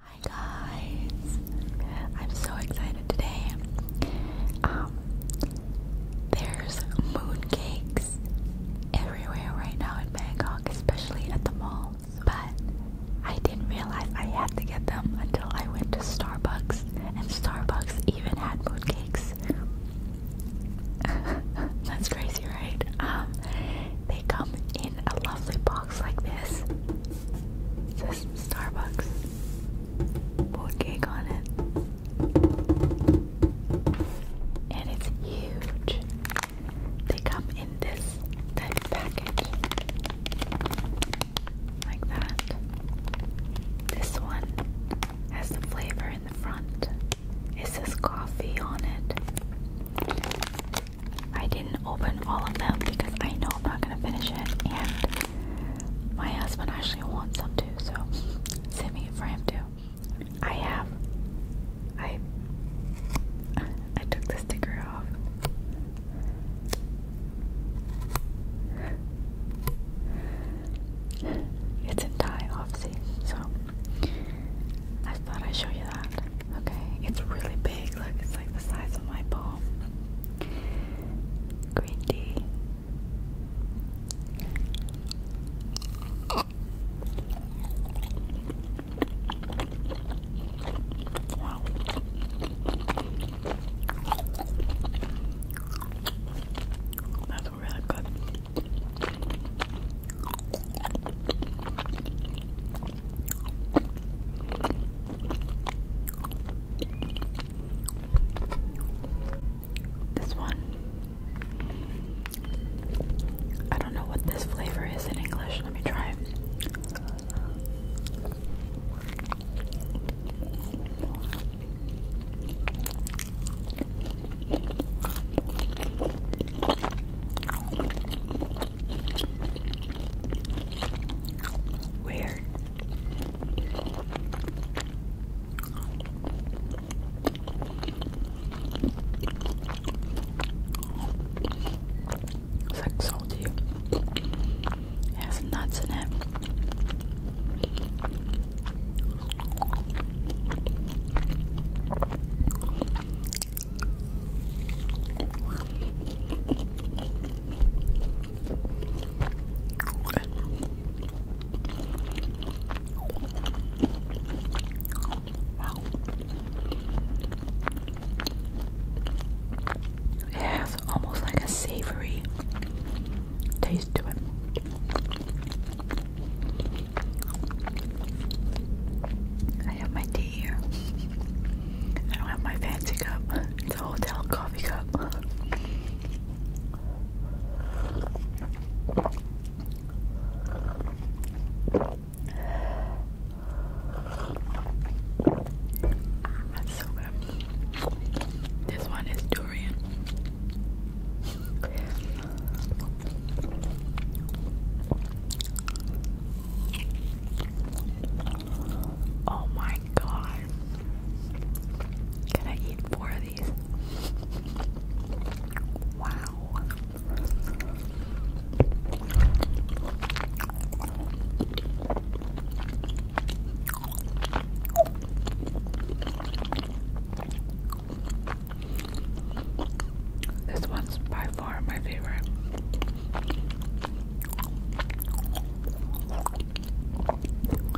Hi guys, I'm so excited today. Um, there's mooncakes everywhere right now in Bangkok, especially at the malls. But I didn't realize I had to get them until I went to Starbucks, and Starbucks even had mooncakes. That's crazy, right? Um, they come in a lovely box like this. It says Starbucks. Board cake on it. And it's huge. They come in this type package. Like that. This one has the flavor in the front. It this coffee on it. I didn't open all of them because I know I'm not gonna finish it, and my husband actually wants some too, so send me for him too. I have. I. I took the sticker off. It's in Thai, obviously, so I thought I'd show you that. Okay, it's really big. Look, it's like the size of my palm. Green tea. Wow. This one, I don't know what this flavor is in English. Let me try it. Weird. It's like salty. It has nuts in it. Wow. It has almost like a savory taste to it. I have my tea here. I don't have my fancy cup. It's a hotel coffee cup. That's so good. This one is durian. Oh my god. Can I eat four of these? Wow. This one's by far my favorite.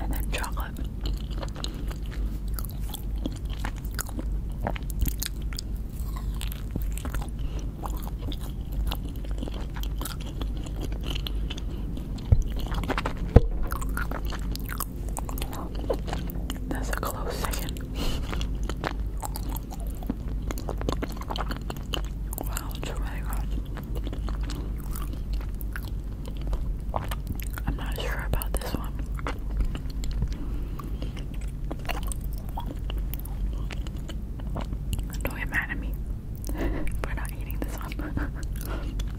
And then chocolate. That's a close second. Wow, it's really good. I'm not sure about this one. Don't get mad at me for not eating this one.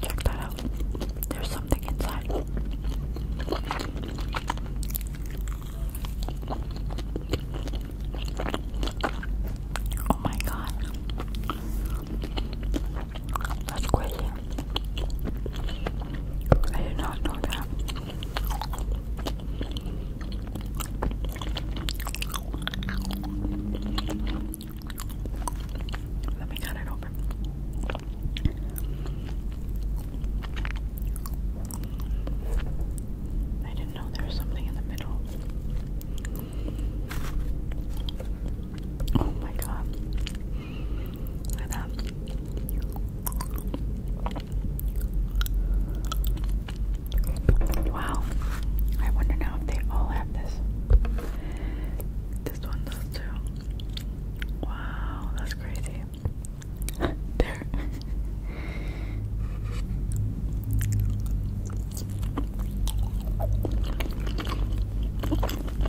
Check that out. There's something inside. Oh my god. That's crazy. I did not know that. Let me cut it open. I didn't know there was something in the middle. Oh my god. Look at that. Wow. I wonder now if they all have this. This one does too. Wow, that's crazy. there.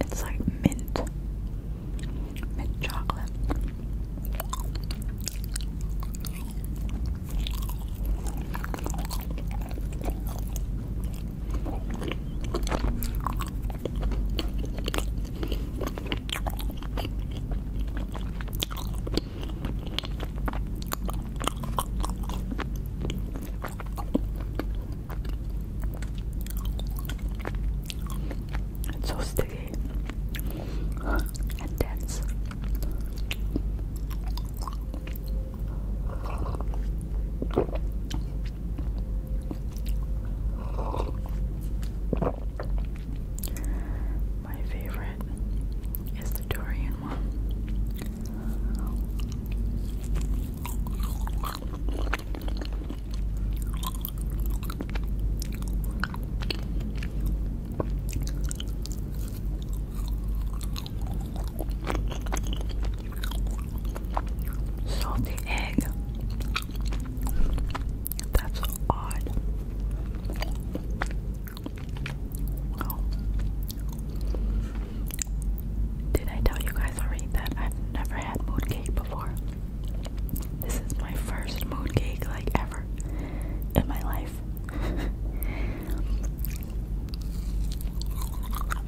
It's like mint, mint chocolate. It's so sticky and dense. My favorite is the Dorian one. Salty egg. That's odd. Oh. Did I tell you guys already that I've never had mood before? This is my first mood like ever in my life.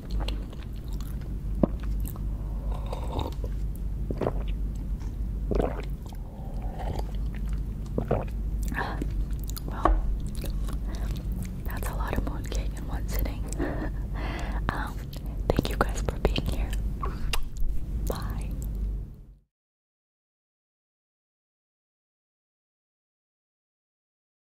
Well, that's a lot of moon in one sitting. Um, thank you guys for being here. Bye.